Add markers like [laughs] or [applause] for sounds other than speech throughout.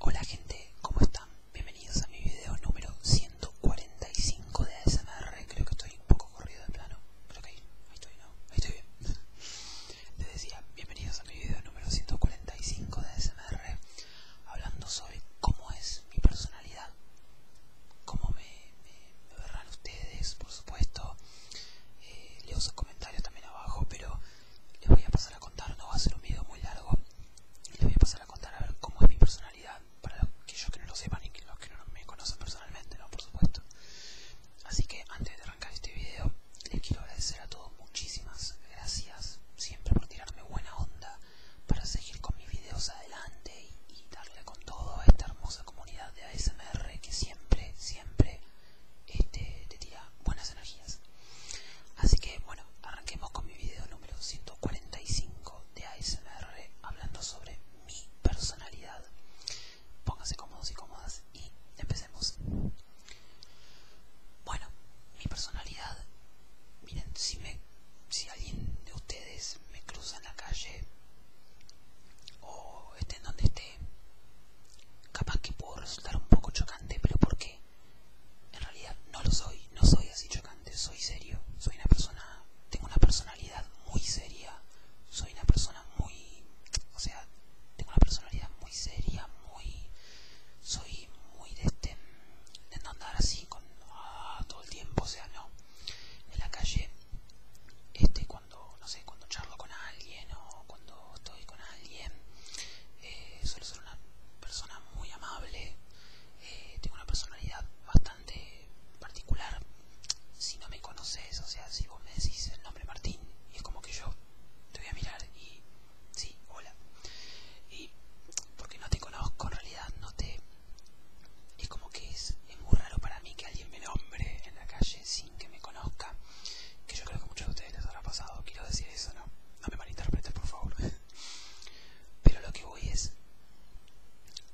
Hola gente, ¿cómo están? Bienvenidos a mi video número 145 de ASMR. Creo que estoy un poco corrido de plano, creo que ahí estoy, ¿no? Ahí estoy bien. [laughs] Les decía, bienvenidos a mi video número 145 de ASMR, hablando sobre cómo es mi personalidad, cómo me, verán ustedes, por supuesto. Eh, leo sus comentarios también abajo, pero les voy a pasar a contar, no va a ser un video muy largo, les voy a pasar a contar a cómo es mi personalidad, para aquellos que no lo sepan y los que no me conocen personalmente, no por supuesto. Así que antes de arrancar este video, les quiero agradecer a todos muchísimas gracias siempre por tirarme buena onda para seguir con mis videos adelante y darle con todo a esta hermosa comunidad de ASMR que siempre, siempre este, te tira buenas energías. Así que bueno, arranquemos con mi video número 145 de ASMR hablando sobre mi personalidad. Pónganse cómodos y cómodas y empecemos. Bueno, mi personalidad, miren, si, me, si alguien de ustedes me cruza en la calle o esté en donde esté, capaz que puedo resultar un poco chocante, pero porque en realidad no lo soy, no soy así chocante, soy serio, soy una persona, tengo una personalidad muy seria, soy una persona muy, o sea, tengo una personalidad muy seria, muy, soy muy de este, de no andar así ah, todo el tiempo, o sea, no, en la calle, este, cuando, no sé, cuando charlo con alguien cuando estoy con alguien. Eh, suelo ser una persona muy amable. Eh, tengo una personalidad bastante particular. Si no me conoces, o sea, si vos me decís el nombre Martín, y es como que yo te voy a mirar y sí, hola. Y porque no te conozco, en realidad no te... Es como que es muy raro para mí que alguien me nombre en la calle sin que me conozca que yo creo que muchos de ustedes les habrá pasado, quiero decir eso, ¿no? No me malinterpreten, por favor. [laughs] Pero lo que voy es,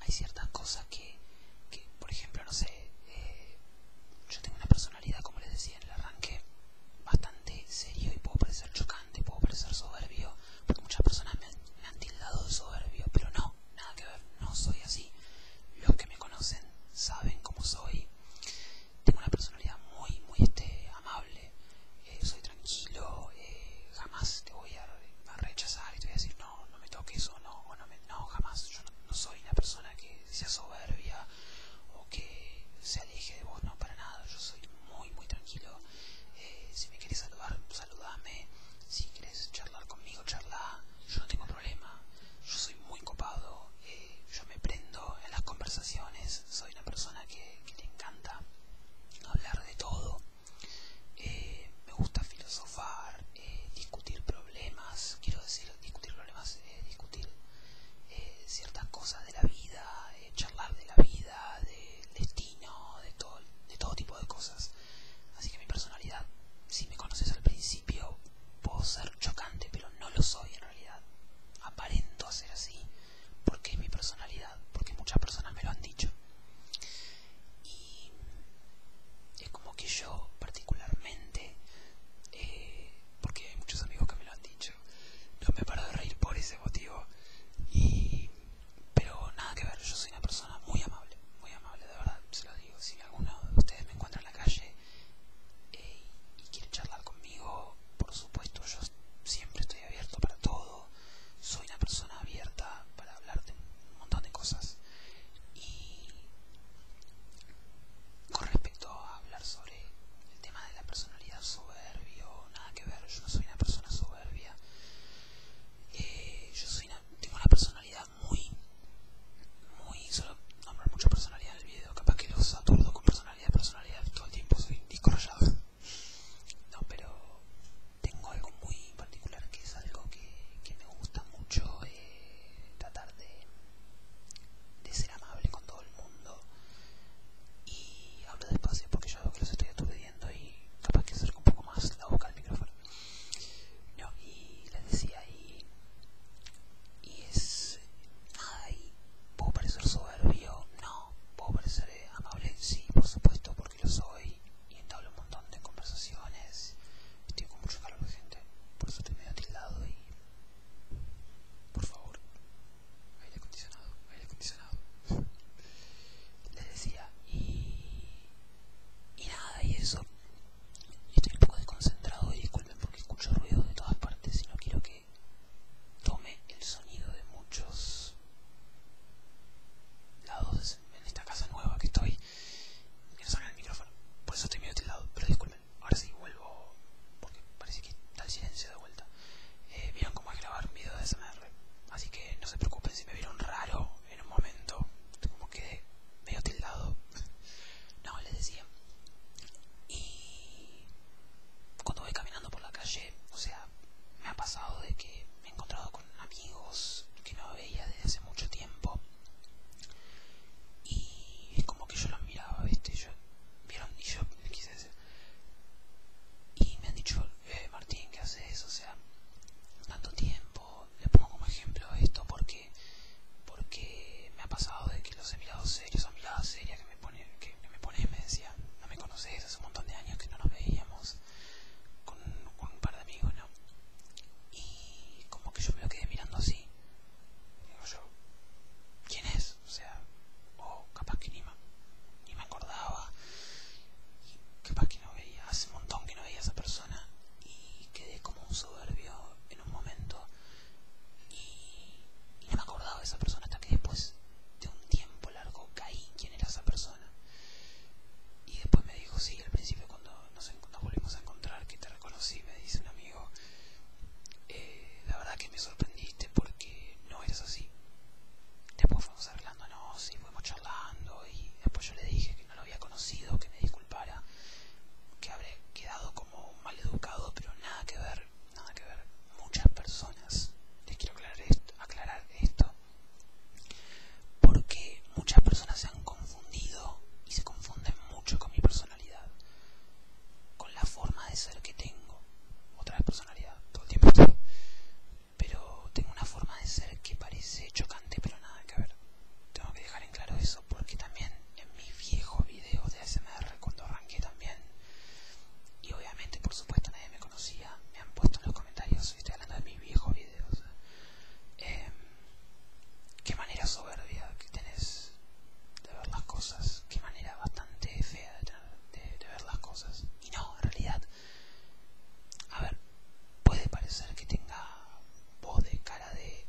hay ciertas cosas que, que por ejemplo, no sé, eh, yo tengo una personalidad, como les decía en el arranque, bastante serio y puedo parecer chocante, puedo parecer soberbio, porque muchas personas me han, tildado soberbio, pero no, nada que ver, no soy así. Los que me conocen saben cómo soy tengo una personalidad muy, muy este, amable, eh, soy tranquilo, eh, jamás te voy a, rechazar y te voy a decir no, no me toques o no, no, jamás, yo no, soy una persona que sea soberbia o que se aleje de vos, no, para nada, yo soy muy, muy tranquilo, eh, si me quieres saludar, saludame, si quieres charlar conmigo, charla, yo no tengo problema, yo soy muy copado, yo me prendo en las conversaciones, soy una persona que, le encanta hablar de todo, eh, me gusta filosofar, eh, discutir problemas, quiero decir discutir problemas, eh, discutir ciertas cosas de la vida, charlar de la vida, del destino, de todo, de todo tipo de cosas. Así que mi personalidad, si me conoces al principio, puedo ser chocante, pero no lo soy realidad, Aparento ser así porque es mi personalidad, porque muchas personas me lo han dicho. Y es como que yo particularmente, eh, porque hay muchos amigos que me lo han dicho, no me paro de reír por ese motivo. pero nada que ver, yo soy una persona muy amable, muy amable, de verdad, se lo digo. Si alguno de ustedes me encuentra en la calle eh, y quiere charlar conmigo, por supuesto yo siempre estoy abierto para todo, soy una persona abierta para hablar de un montón de cosas. Y con respecto a hablar sobre el tema de la personalidad soberbio, nada que ver, yo no soy una persona soberbia. Eh, yo soy una, tengo una personalidad muy muy solo nombrar mucho personalidad en el video, capaz que los aturdo con personalidad, personalidad todo el tiempo, soy disco No, pero tengo algo muy particular que es algo que, que me gusta mucho, eh, tratar de, ser amable con todo el mundo. Y hablo despacio porque yo veo que los estoy aturdiendo y capaz que acerco un poco más la boca al micrófono. No, y les decía, y es ay, puedo parecer soberbio, no, puedo parecer amable, sí, por supuesto, porque lo soy y entablo un montón de conversaciones, estoy con mucho calor de gente, por eso estoy medio atildado y, por favor, aire acondicionado, aire acondicionado, [laughs] les decía, y, y nada, y eso, estoy un poco desconcentrado y disculpado porque escucho ruido de todas partes y no quiero que tome el sonido de muchos lados en esta casa nueva que estoy que no salga el micrófono por eso estoy medio tildado pero disculpen ahora sí vuelvo porque parece que está el silencio de vuelta eh, vieron cómo es grabar un video de SNR así que no se preocupen si me vieron raro en un momento como que medio tildado [laughs] No, les decía. Y cuando voy caminando por la calle, o sea, me ha pasado de que me he encontrado con amigos que no veía desde hace mucho tiempo. Y es como que yo los miraba, ¿viste? Yo, ¿Vieron? Y yo quise decir. Y me han dicho, eh, Martín, ¿qué haces? O sea, tanto tiempo. Le pongo como ejemplo esto porque porque me ha pasado de que los he mirado serios, a mirada seria que me pone, que, me pone no me conoces, hace un montón de años que no nos veíamos con, un par de amigos, ¿no? Y como que yo me lo quedé mirando así, digo yo, ¿quién es? O sea, o oh, capaz que ni me, ni me acordaba, capaz que no veía, hace un montón que no veía a esa persona y quedé como un soberbio en un momento y, no me acordaba de esa persona hasta que después de un tiempo largo caí quién era esa persona. Y después me dijo, sí, al principio cuando nos, volvimos a encontrar, que te reconocí, me dice un amigo, eh, la verdad que me sorprendiste porque no eras así. Después fuimos arreglándonos y fuimos charlando y después yo le dije que no lo había conocido, que me dijo para, que habré quedado como mal educado, pero nada que ver, nada que ver. Muchas personas, les quiero aclarar esto, porque muchas personas se han confundido y se confunden mucho con mi personalidad, con la forma de ser que tengo. Otra vez personalidad, todo el tiempo. Pero tengo una forma de ser que parece chocante, pero nada que ver. Tengo que dejar en claro eso porque también en mi viejo video de ASMR cuando arranqué también y obviamente por supuesto nadie me conocía me han puesto en los comentarios estoy hablando de mis viejos videos eh, qué manera soberbia que tenés de ver las cosas qué manera bastante fea de, de ver las cosas y no en realidad a ver puede parecer que tenga voz de cara de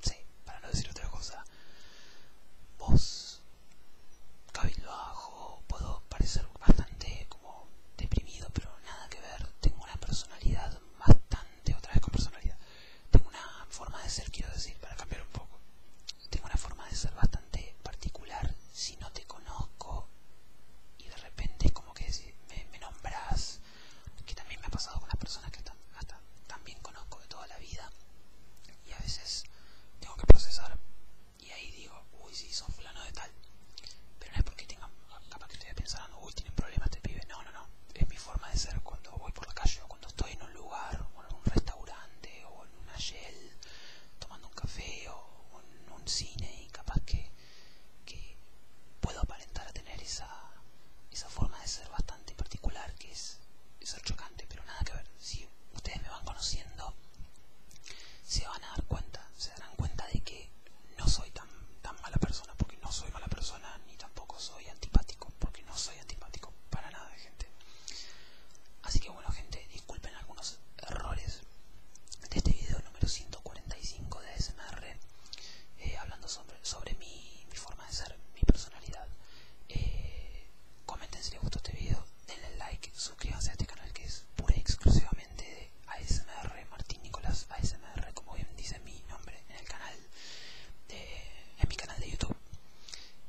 Sí, para no decir otra cosa. Vos, cabildo puedo parecer bastante como deprimido, pero nada que ver. Tengo una personalidad bastante, otra vez con personalidad. Tengo una forma de ser, quiero decir, para cambiar un poco. Tengo una forma de ser bastante particular. Si no te conozco y de repente como que me, nombras, que también me ha pasado con las personas que están también conozco de toda la vida y a veces tengo que procesar y ahí digo, uy, sí, son fulano de tal. Pero no es porque tenga, capaz que estoy pensando, uy, tienen problemas este pibe. No, no, no. Es mi forma de ser cuando voy por la calle o cuando estoy en un lugar o en un restaurante o en una shell tomando un café o en un cine y capaz que, que puedo aparentar a tener esa, esa forma de ser bastante particular que es es chocante, pero nada que ver. Si ustedes me van conociendo, se van a dar cuenta, se darán cuenta de que no soy tan, mala persona, porque no soy mala persona, ni tampoco soy antipático, porque no soy antipático para nada, gente. Así que bueno, gente, disculpen algunos errores de este video número 145 de SMR, eh, hablando sobre sobre, mi, forma de ser, mi personalidad. Eh, comenten si les gustó este video, denle like, suscríbanse a este canal que es pura y exclusivamente de ASMR Martín Nicolás ASMR, como bien dice mi nombre en el canal, de, en mi canal de YouTube.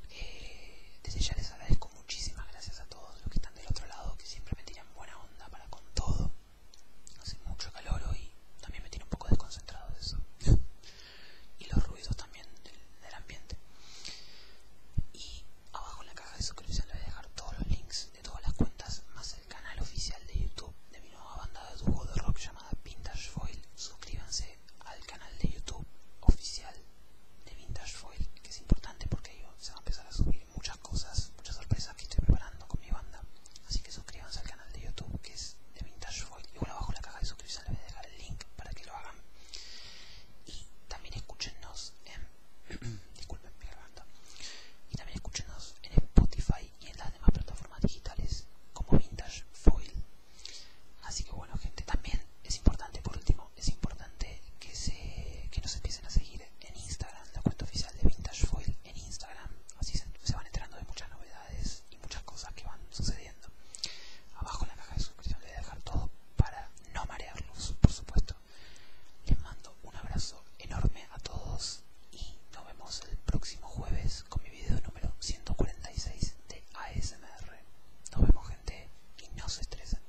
Eh, desde ya les agradezco muchísimas gracias a todos los que están del otro lado, que siempre me tiran buena onda para con todo. Hace mucho calor hoy, también me tiene un poco desconcentrado de eso. [laughs] y los ruidos también del, ambiente. Y abajo en la caja de suscripción le voy a dejar todos los links de todas las cuentas, más el canal oficial de YouTube de mi nueva banda de dúo de rock llamada Vintage Foil. Suscríbanse al canal de YouTube oficial de Vintage Foil, que es importante porque yo, se van a empezar a subir muchas cosas, muchas sorpresas que estoy preparando con mi banda. Así que suscríbanse al canal de YouTube que es de Vintage y bueno, abajo en la caja de suscripción les voy a dejar el link para que lo hagan y también escúchenos en... [clears throat] disculpen, mi garganta. y también escúchenos en Spotify y en las demás plataformas digitales como Vintage Foil así que bueno gente, también es importante, por último, es importante que, se, que nos empiecen a seguir en Instagram, la cuenta oficial de Vintage Foil en Instagram así se van enterando de muchas novedades muchas cosas que van sucediendo. Abajo en la caja de suscripción les voy a dejar todo para no marearlos, por supuesto. Les mando un abrazo enorme a todos y nos vemos el próximo jueves con mi video número 146 de ASMR. Nos vemos gente y no se estresen.